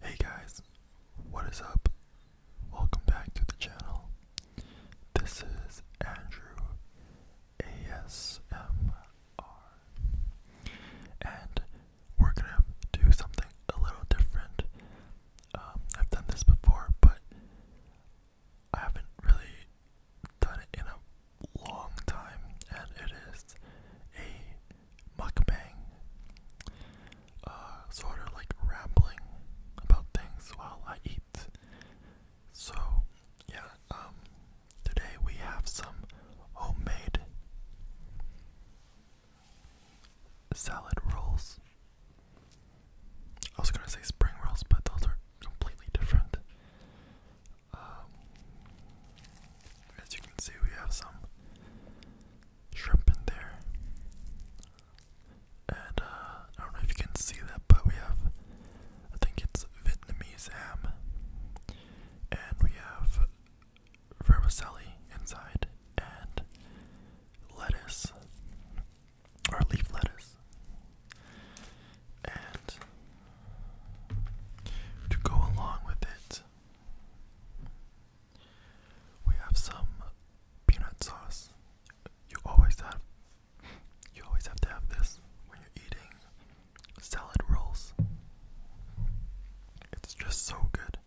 Hey guys, what is up? Welcome back to the channel. This is Andrew ASMR. And we're gonna do something a little different. Um, I've done this before, but I haven't really done it in a long time, and it is a mukbang, uh, sort of like rambling about things while I eat. So, yeah, um, today we have some homemade salad rolls. I was gonna say spring rolls, but those are completely different. Um, as you can see, we have some shrimp in there. And uh, I don't know if you can see that, but we have, I think it's Vietnamese ham. And we have vermicelli inside and lettuce, or leaf lettuce. And to go along with it, we have some peanut sauce. You always have you always have to have this when you're eating salad rolls. It's just so good.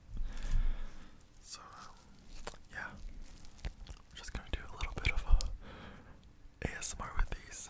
So yeah. I'm just gonna do a little bit of a ASMR with these.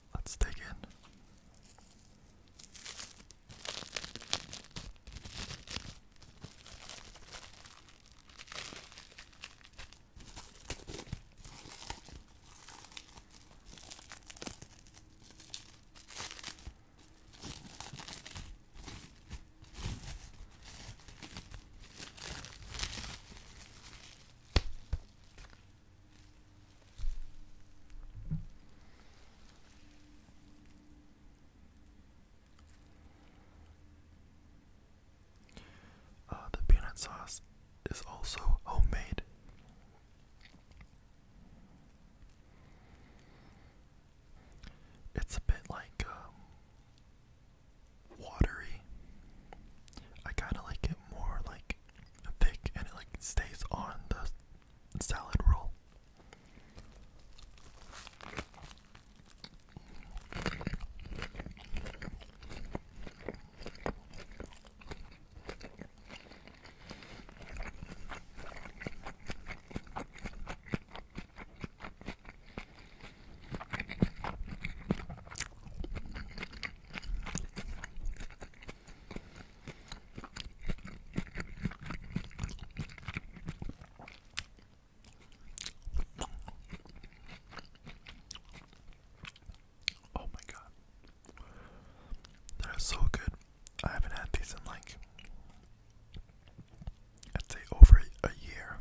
Let's dig in. Uh, the peanut sauce is also homemade. It's a bit like um, watery. I kind of like it more like thick, and it like stays on the salad roll. Oh my god. They're so good. I haven't had these in like I'd say over a year.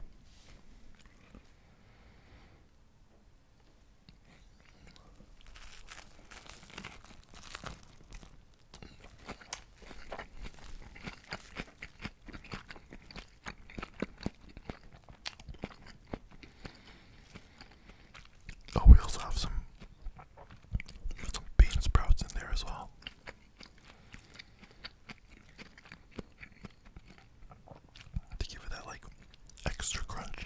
Oh, we also have some some bean sprouts in there as well. To give it that like extra crunch.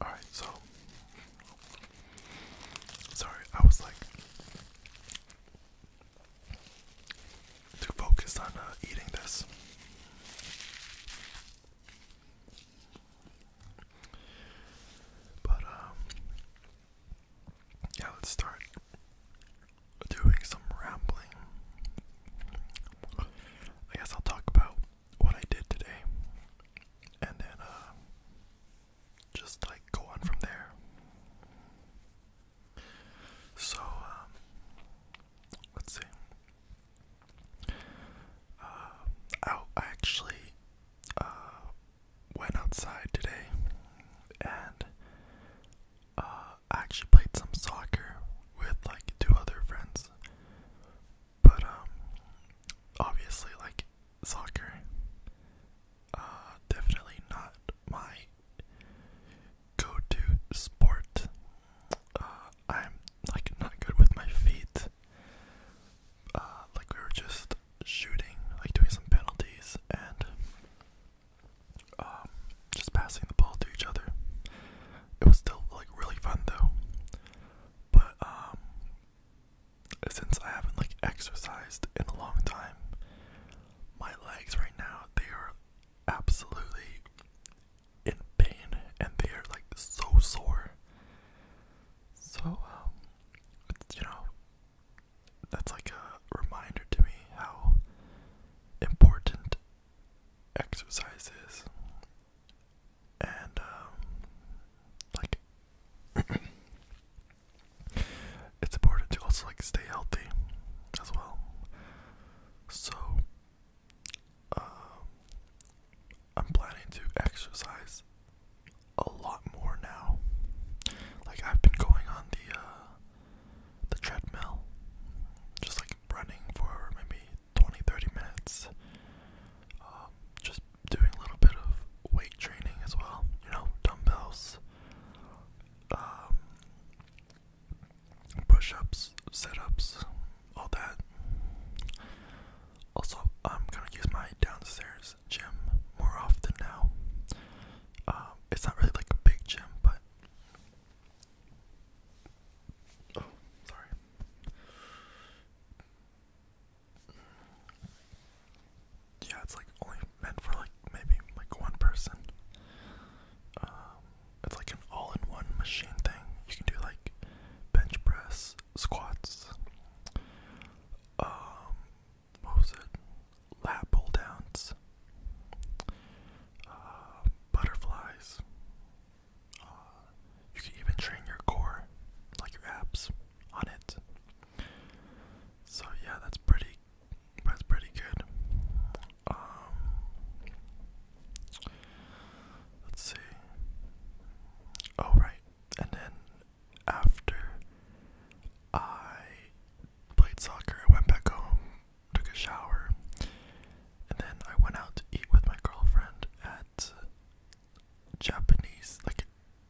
All right, so sorry, I was like too focused on uh, eating this. But um yeah, let's start doing some rambling. I guess I'll talk about what I did today, and then uh, just like go on from there. So, um, let's see. Uh, I, actually uh, went outside today and uh, I actually played some soccer with like two other friends. But um obviously like soccer uh definitely not my go-to sport. Uh, I'm like not good with my feet. Uh, like we were just shooting, like doing some penalties and um just passing the ball to each other. It was still like really fun though. But um since I haven't like exercised in a long time, my legs right now they are absolutely in pain and they are like so sore. So um, you know, that's like a reminder to me how important exercise is and um, like it's important to also like stay healthy as well. So um, I'm planning to exercise a lot more now. Like I've been going on the uh, the treadmill, just like running for maybe 20 minutes um, just doing a little bit of weight training as well you know dumbbells um, push all that also i'm gonna use my downstairs gym more often now um, it's not really like a big gym but Oh, sorry. Yeah, it's like only meant for like maybe like one person. Um, it's like an all-in-one machine thing. You can do like bench press, squats, um, Lat pull downs, uh, butterflies, uh, you can even train your core, like your abs, on it. So yeah, that's pretty. That's pretty good. Um, let's see. Oh right, and then after I played soccer, I went back home, took a shower, and then I went out to eat with my girlfriend at Japanese, like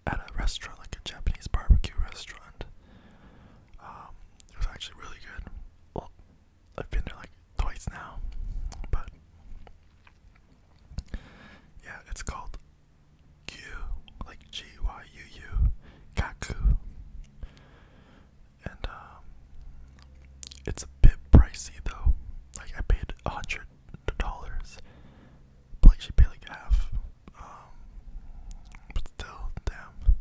at a restaurant, like a Japanese barbecue restaurant. Um, it was actually really good. I've been there like twice now, but yeah, it's called Q, like G Y U U, Kaku, and um, it's a bit pricey though. Like I paid a hundred dollars. But like she paid like half. Um, but still, damn,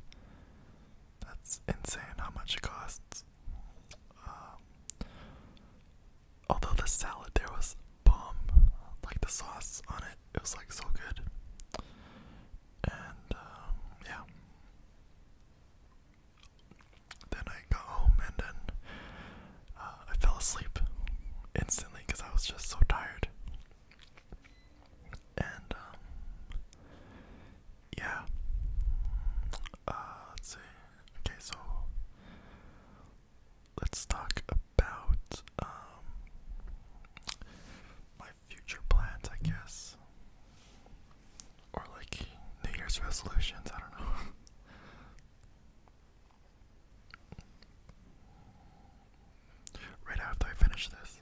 that's insane how much it costs. Um, although the salad there was bomb, like the sauce on it, it was like so good. And um, yeah. Then I got home and then uh, I fell asleep instantly because I was just so tired. And, um, yeah. Uh, let's see. Okay, so let's talk about, um, my future plans, I guess. Or like New Year's resolutions, I don't know. right after I finish this.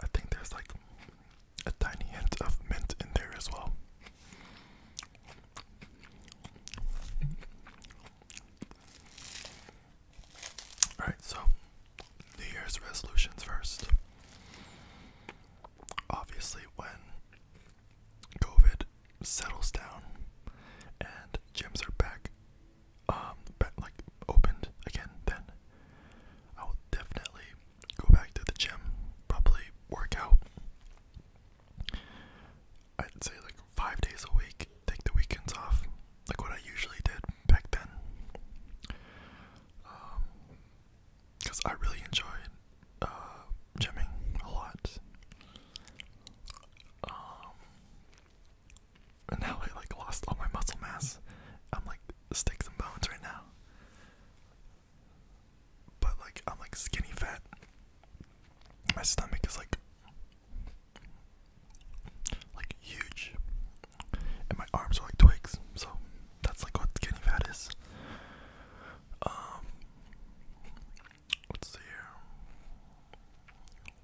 I think there's like a tiny hint of mint in there as well. Alright, so New Year's resolutions first. Obviously, when COVID settles down and gyms are back, um, back, like opened again, then I will definitely go back to the gym, probably work I'd say like five days a week, take the weekends off, like what I usually did back then because um, I really enjoy uh, gymming a lot. Um, and now I like lost all my muscle mass. I'm like sticks and bones right now. But like I'm like skinny fat. My stomach is like like huge and my arms are like twigs, so that's like what skinny fat is. Um, let's see here.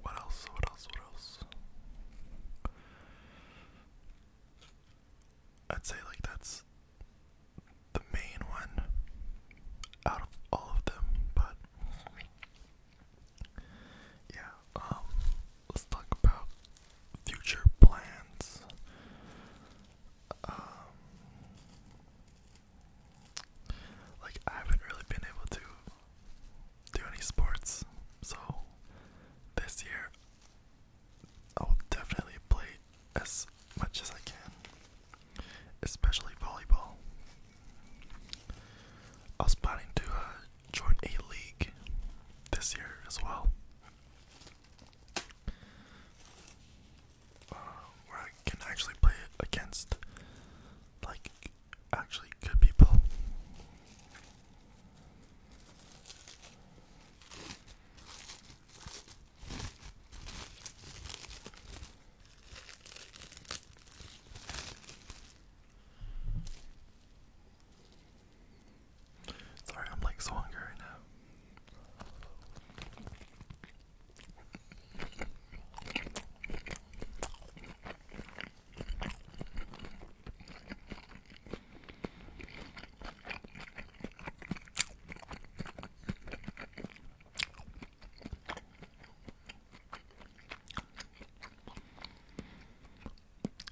What else? What else? What else? I'd say like that's the main one out of all of them, but yeah, um, let's talk about future plans. Um, like I haven't really been able to do any sports, so this year I'll definitely play as much as I can, especially volleyball. I was planning to uh, join a league this year as well, uh, where I can actually play against like actually good people. Sorry, I'm like so hungry right now.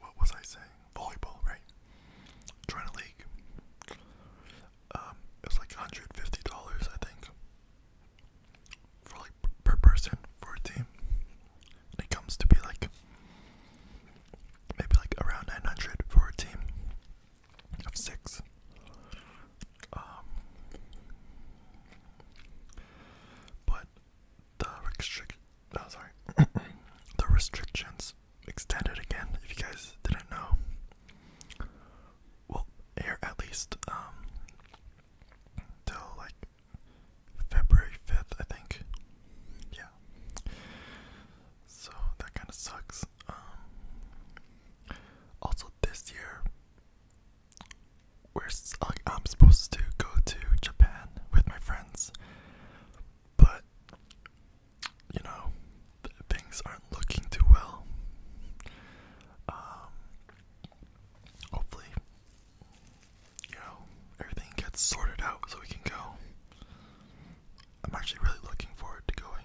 what was I saying? Volleyball, right? Join league. Um, it was like $150, I think, for like per person for a team. it comes to be like maybe like around 900 for a team of six. Um, but the restrict oh sorry the restrictions extended again if you guys didn't know well air at least um till like February 5th I think yeah so that kind of sucks um, also this year we I'm supposed to go to Japan with my friends, but you know things aren't looking too well. Um, hopefully, you know everything gets sorted out so we can go. I'm actually really looking forward to going.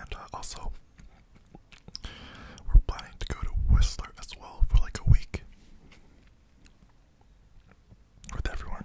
And uh, also, we're planning to go to Whistler as well for like a week with everyone.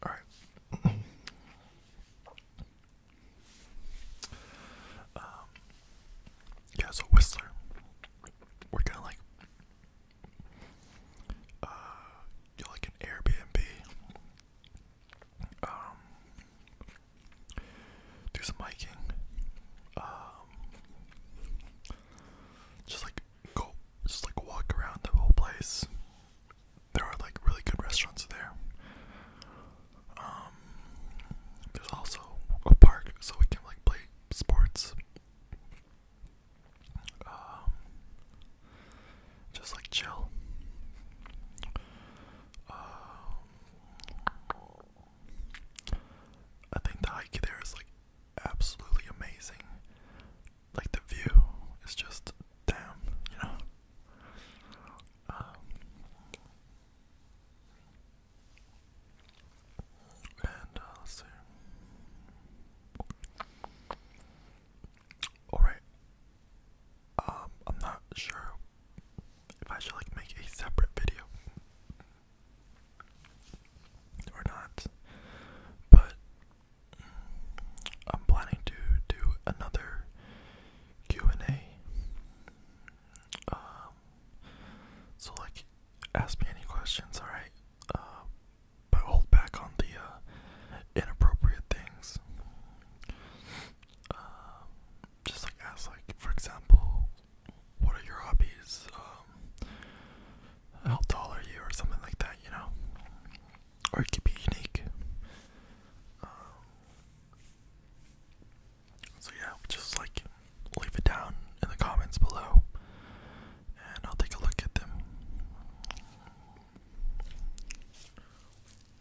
All right. um, yeah, so Whistler, we're kind of like, uh, like an Airbnb um, do some hiking, um, just like go, just like walk around the whole place. There are like really good restaurants there. Um, there's also a park, so we can like play sports. Um, just like chill. Um, I think the hike there is like absolutely amazing. Like the view is just damn, you know. Um, and uh, Alright, um, I'm not sure if I should like make a separate video or not, but I'm planning to do another Q and A. Um, so like, ask me any questions, all right? Uh, but hold back on the uh, inappropriate things. Um, just like ask, like for example, what are your hobbies? Um, how tall are you, or something like that, you know. Or it could be unique. Um, so yeah, just like leave it down in the comments below, and I'll take a look at them.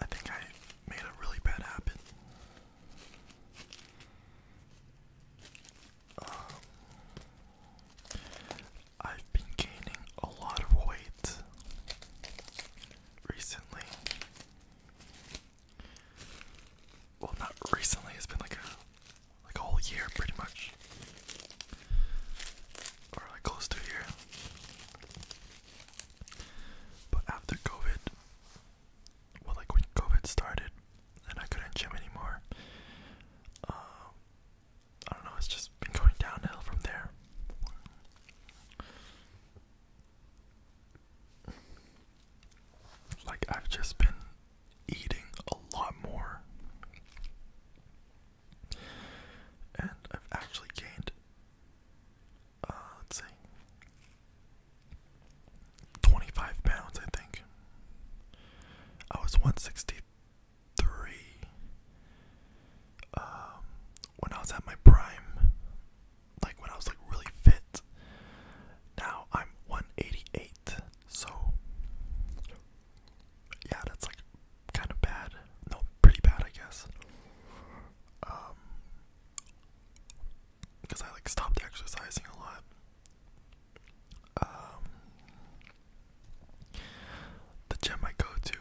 I think I made a really bad habit. Um, I've been gaining a lot of weight recently. Well, not recently. It's been like a like a whole year, pretty much or like close to here. But after COVID, well, like when COVID started and I couldn't gym anymore, um, I don't know, it's just been going downhill from there. Like, I've just been eating a lot more. And I've actually gained, uh, let's see, 25 pounds, I think. I was 163 um, when I was at my prime, like when I was like really fit. Now I'm 188, so yeah, that's like kind of bad. No, pretty bad, I guess. Um, because I like stopped exercising a lot. Um, the gym I go to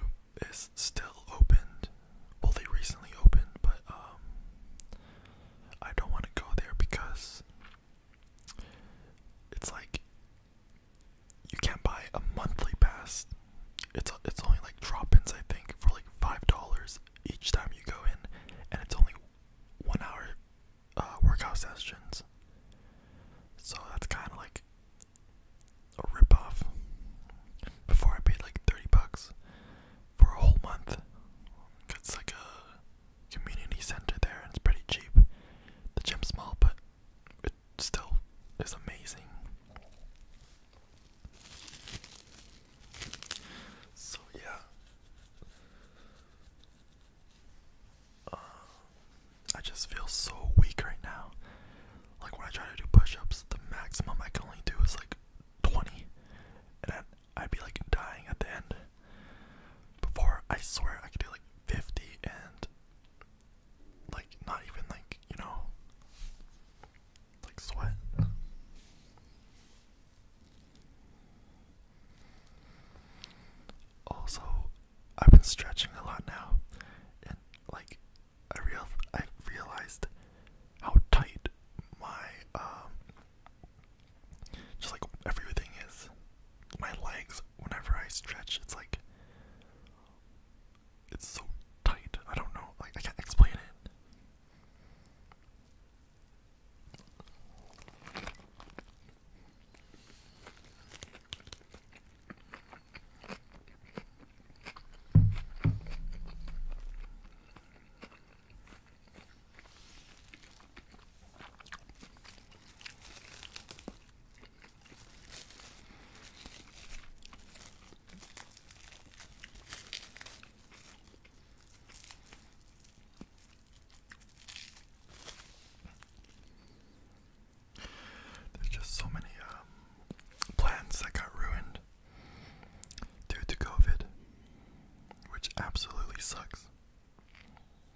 is still opened. Well, they recently opened, but um, I don't want to go there because it's like you can't buy a monthly pass. It's it's only like drop-ins I think for like five dollars each time you go in, and it's only one hour uh, workout sessions. So that's kind of like a rip-off. Before I paid like thirty bucks for a whole month. It's like a community center there, and it's pretty cheap. The gym's small, but it still is amazing. So yeah, uh, I just feel so weak right now. Like when I try to do push-ups, the maximum I can only do is like 20, and I'd be like dying at the end. Before I swear I could do like 50 and like not even like you know like sweat also I've been stretching a lot now and like I real I realized how tight my um just like everything is my legs whenever I stretch it's like it's so tight. I don't know. I can't explain it. There's just so many um, plants that got ruined due to COVID, which absolutely sucks.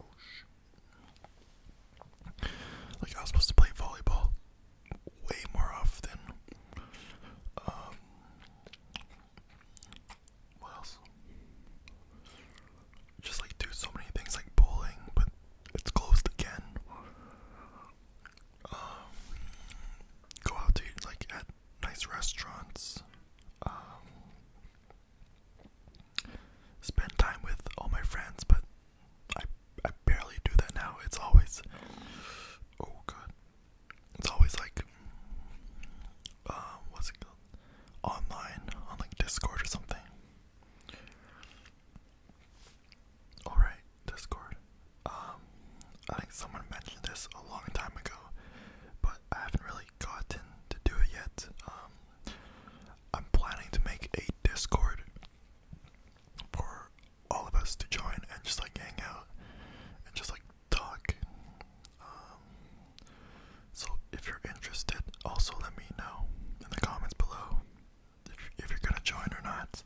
Oh, like I was supposed to play volleyball way more often. Um, what else? Just like do so many things like bowling, but it's closed again. Um, go out to like at nice restaurants, um, spend time with all my friends, but I I barely do that now. It's always oh god, it's always like um, what's it called? Online on like Discord or something. Alright, Discord. Um, I think someone mentioned this a long time ago, but I haven't really gotten to do it yet. Um, I'm planning to make a Discord for all of us to join and just like hang out and just like talk. Um, so if you're interested, also let me know in the comments below if you're gonna join or not.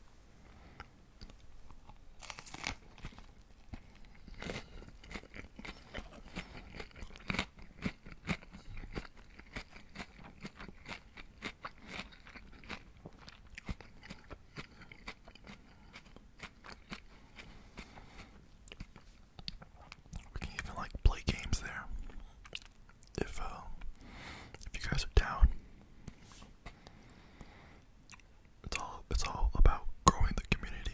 We can even like play games there. If uh, if you guys are down, it's all it's all about growing the community.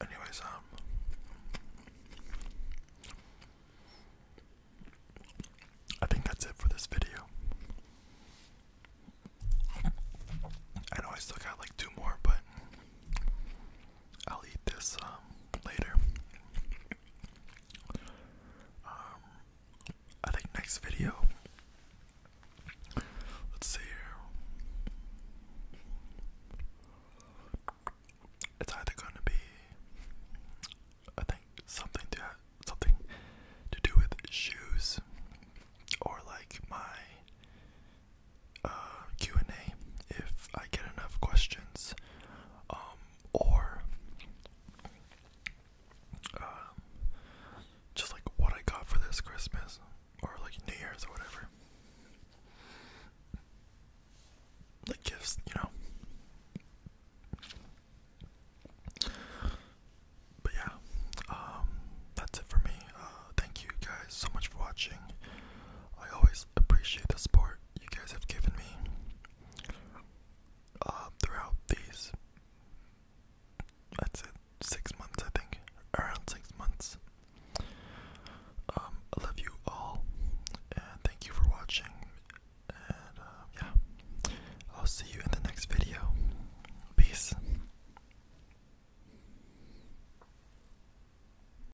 anyways, um I think that's it for this video. I know I still got like two more, but I'll eat this um, later. Um, I think next video. Let's see It's either going to be, I think, something to something to do with shoes, or like my uh, Q and A if I get enough questions, um, or uh, just like what I got for this Christmas or like New Year's or whatever, like gifts, you know. But yeah, um, that's it for me. Uh, thank you guys so much for watching. I always appreciate the support you guys have given me uh, throughout these, I'd six months, I think, around six months. Um, I love you all, and thank you for watching. And uh, yeah, I'll see you in the next video. Peace.